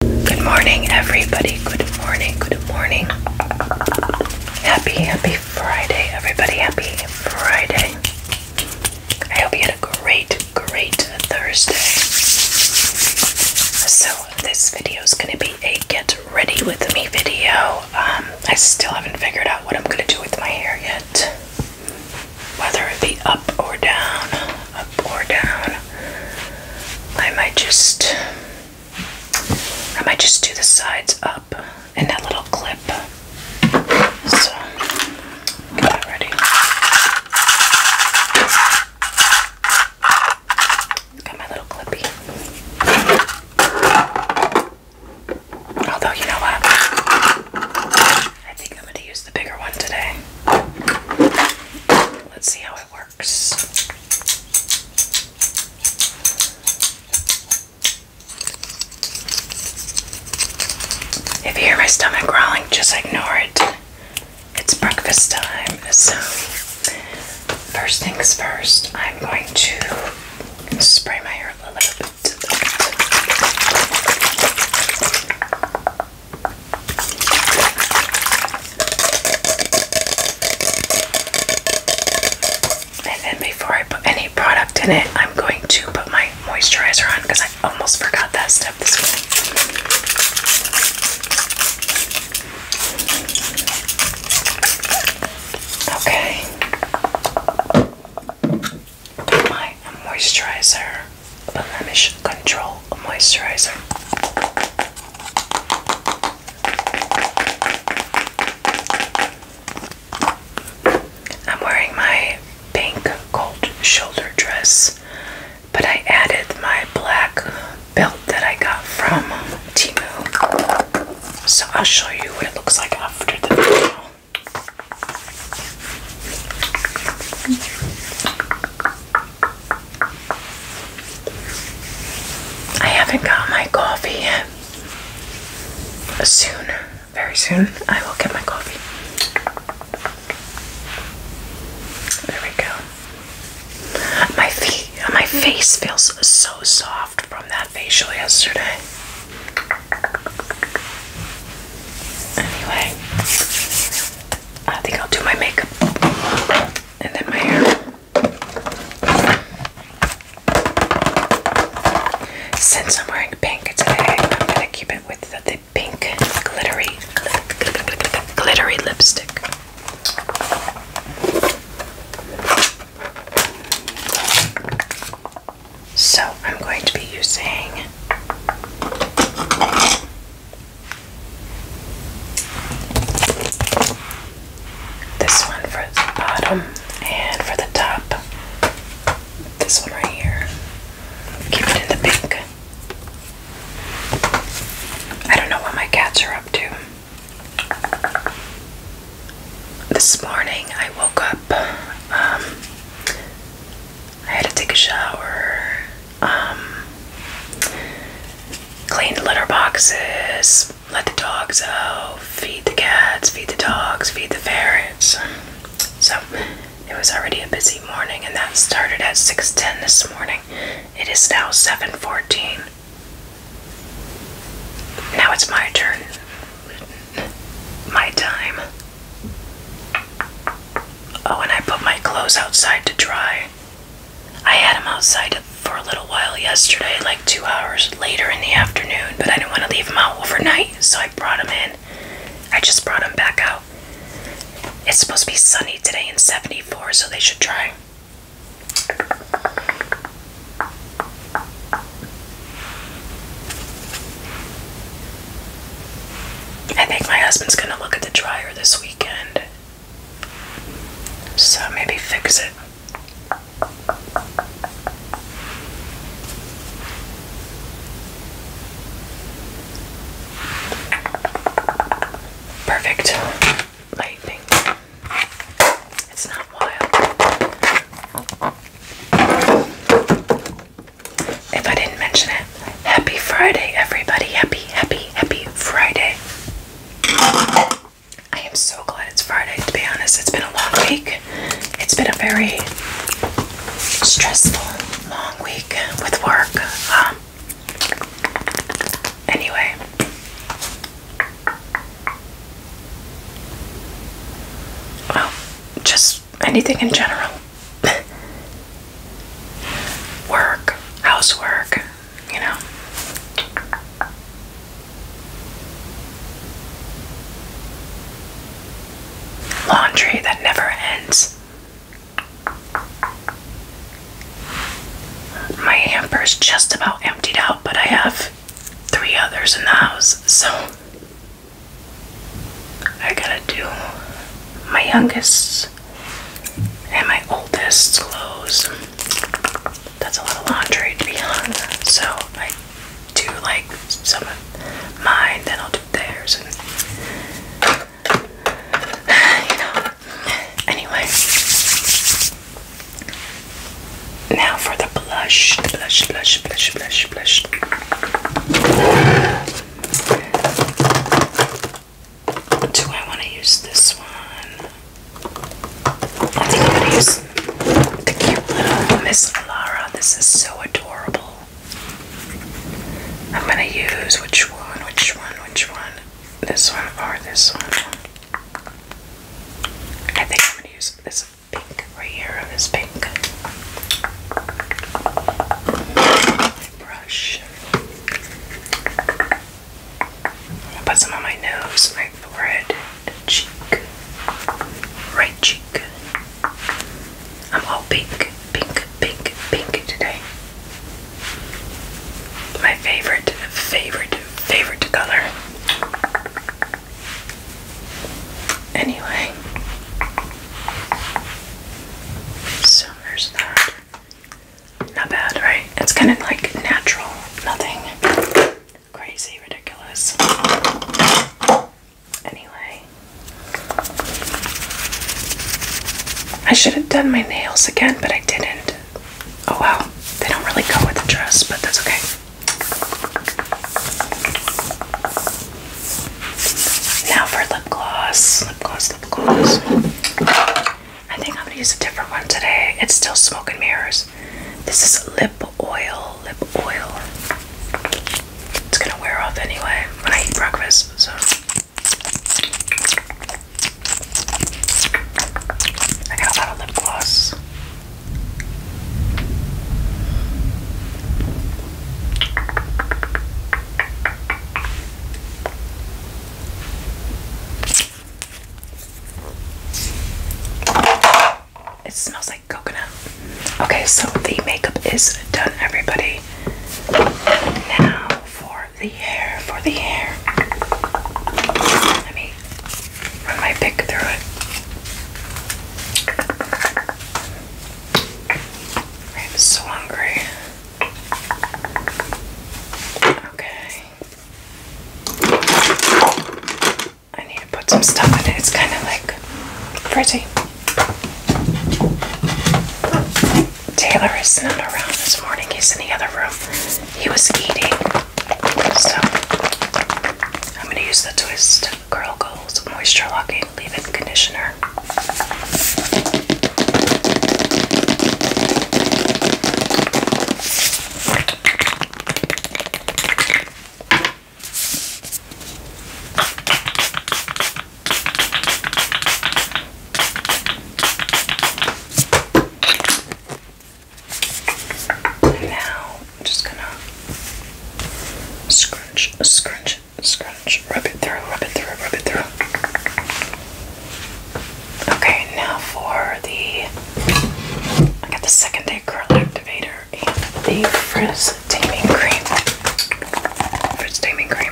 Good morning, everybody. Good morning. Good morning. Happy, happy Friday, everybody. Happy Friday. I hope you had a great, great Thursday. So, this video is going to be a get ready with me video. Um, I still haven't figured out what I'm going to do with my hair yet, whether it be up or down up or down. I might just I might just do the sides up in that little clip. So get ready. Got my little clippy. Although you know what? I think I'm gonna use the bigger one today. Let's see how it works. If you hear my stomach growling, just ignore it. It's breakfast time, so first things first, I'm going to spray my hair a little bit. And then before I put any product in it, I'm going to put my moisturizer on because I almost forgot that step this morning. Okay. my moisturizer Blemish Control Moisturizer. I'm wearing my pink gold shoulder dress, but I added my black belt that I got from Timu. So I'll show you what it looks like after the video. I haven't got my coffee yet. Soon, very soon, I will get my coffee. There we go. My feet, my face feels so soft from that facial yesterday. Anyway, I think I'll do my makeup and then my hair. Since I'm wearing pink today, I'm gonna keep it with the, pink glittery glittery lipstick. So I'm going to be using this one for the bottom and for the top. This one right here. Keep it in the pink. I don't know what my cats are up to. This morning I woke up. Um, I had to take a shower, um, clean the litter boxes, let the dogs out, feed the cats, feed the dogs, feed the ferrets. So it was already a busy morning, and that started at 6:10 this morning. It is now 7:14. Now it's my turn. My time. Oh, and I put my clothes outside to dry. I had him outside for a little while yesterday, like two hours later in the afternoon, but I didn't want to leave him out overnight, so I brought him in. I just brought him back out. It's supposed to be sunny today in 74, so they should try. I think my husband's gonna look at the dryer this week. So maybe fix it. Perfect lightning. It's not wild. If I didn't mention it, Happy Friday, everybody. Happy, happy, happy Friday. I am so glad it's Friday, to be honest. It's been a long week. It's been a very stressful, long week with work. Um, anyway. Well, just anything in general. work, housework, you know. Laundry that never ends. My hamper's just about emptied out, but I have three others in the house, so I gotta do my youngest and my oldest Lowe's. That's a lot of laundry to be on. So I do like some of mine, then I'll do theirs and you know. Anyway. Now for the blush. Blush, blush, blush, blush, blush. Do I want to use this one? I think I'm going to use cute little Miss Alara. This is so adorable. I'm going to use which one, which one, which one? This one or this one? I think I'm going to use this pink right here, this pink brush. put some on my nose, my forehead, cheek, right cheek. I'm all pink, pink, pink, pink today. My favorite, favorite, favorite color. Anyway, summer's not. Not bad, right? It's kind of like natural, nothing crazy, ridiculous. Anyway, I should have done my nails again, but I didn't. Oh wow, they don't really go with the dress, but that's okay. Now for lip gloss. Lip gloss, lip gloss. I think I'm going to use a different one today. It's still Smoking Mirrors. This is lip oil. Lip oil. It's going to wear off anyway when I eat breakfast. So. I got a lot of lip gloss. It smells like coconut. Okay, so the makeup is done, everybody. Now for the hair, for the hair. Let me run my pick through it. I'm so hungry. Okay. I need to put some stuff in it. It's kind of like pretty. Taylor is not around this morning. He's in the other room. He was eating. So I'm going to use the Twist Curl Goals Moisture Locking Leave-In Conditioner. And now I'm just gonna scrunch, scrunch Scratch, rub it through, rub it through, rub it through. Okay, now for the I got the second day curl activator and the frizz taming cream. Frizz taming cream.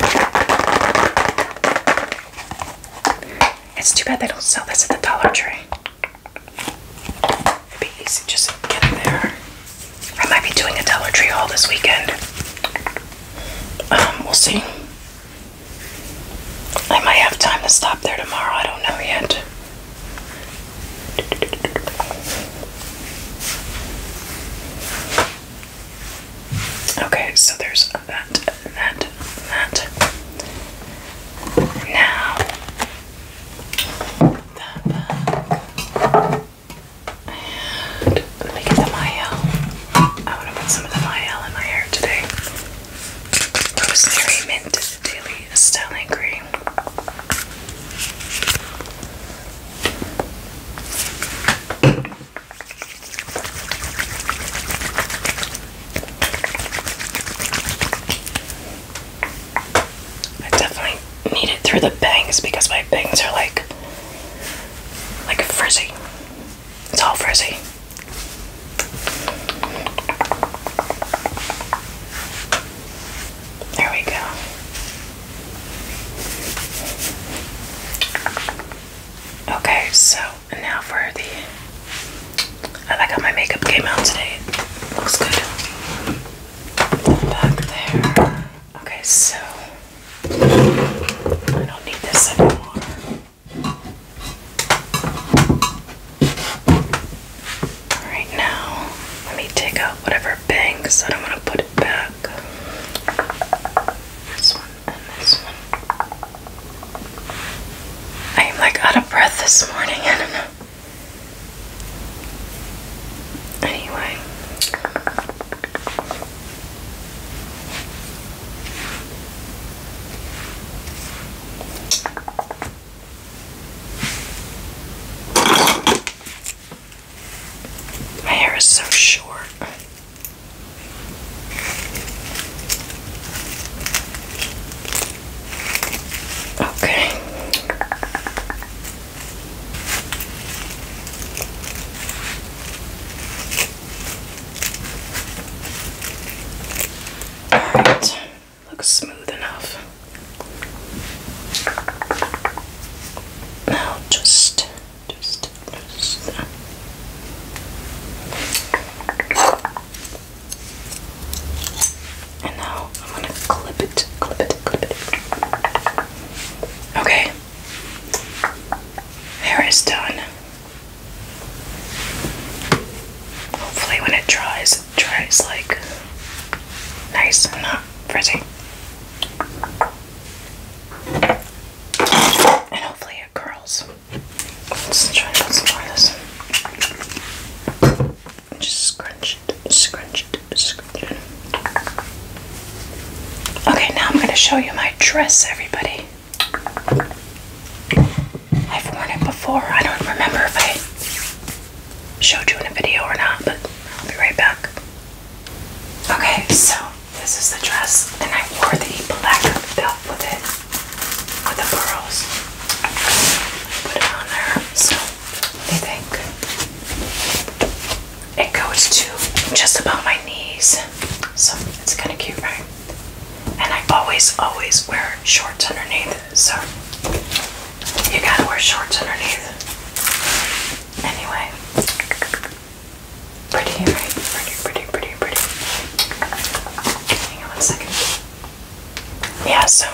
It's too bad they don't sell this at the Dollar Tree. It'd be easy just to get there. I might be doing a Dollar Tree haul this weekend. Um, we'll see. I might have time to stop there tomorrow. I don't know yet. Okay, so there's that, that, that. Now, and let me get the Miel. I want to put some of the Miel in my hair today. Rosemary Mint Daily Styling Cream. I definitely need it through the bangs because my bangs are like like a frizzy. It's all frizzy. There we go. Okay, so now for the. I like how my makeup came out today. looks good. Back there. Okay, so I don't need this anymore. Alright, now let me take out whatever bangs. I don't to put it back. This one and this one. I am like out of breath this morning. I Anyway, my hair is so short. Okay. Alright, looks smooth enough. Now just, just, just. And now I'm gonna clip it, clip it, clip it. Okay. Hair is done. Hopefully, when it dries, it dries like nice and not frizzy. And hopefully, it curls. Let's try, let's try this. Just scrunch it, scrunch it, scrunch it. Okay, now I'm going to show you my dress, everybody. I've worn it before. I don't remember if I showed you in a video or not, but I'll be right back. Okay, so this is the dress, and I wore the black belt with it, with the pearls. Put it on there. So, what do you think? it goes to just about my knees. So it's kind of cute, right? And I always, always wear shorts underneath. So you gotta wear shorts underneath. Anyway, pretty, right? Pretty, pretty, pretty, pretty. Hang on one second. Yeah, so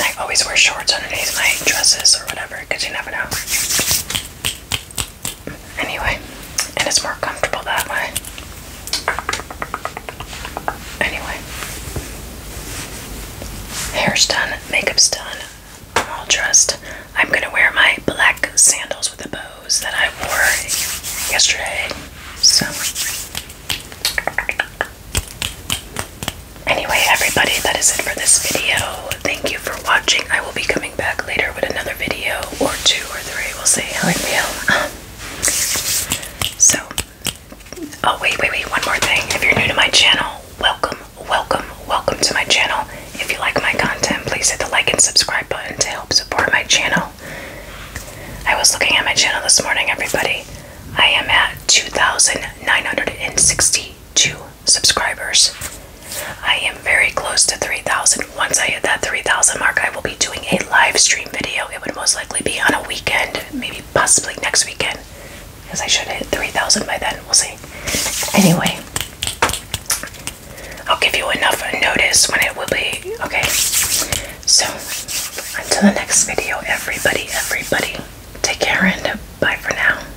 I always wear shorts underneath my dresses or whatever because you never know. Anyway, and it's more comfortable that way. Anyway, hair's done, makeup's done. I'm all dressed. I'm gonna wear my black sandals with the bows that I wore yesterday. So, anyway, everybody, that is it for this video thank you for watching. I will be coming back later with another video or two or three. We'll see how I feel. Um, so, oh, wait, wait, wait. One more thing. If you're new to my channel, welcome, welcome, welcome to my channel. If you like my content, please hit the like and subscribe button to help support my channel. I was looking at my channel this morning, everybody. I am at 2,962 subscribers. I am very close to 3,000. Once I hit that 3,000 mark, I will be doing a live stream video. It would most likely be on a weekend, maybe possibly next weekend, as I should hit 3,000 by then. We'll see. Anyway, I'll give you enough notice when it will be. Okay. So, until the next video, everybody, everybody, take care and bye for now.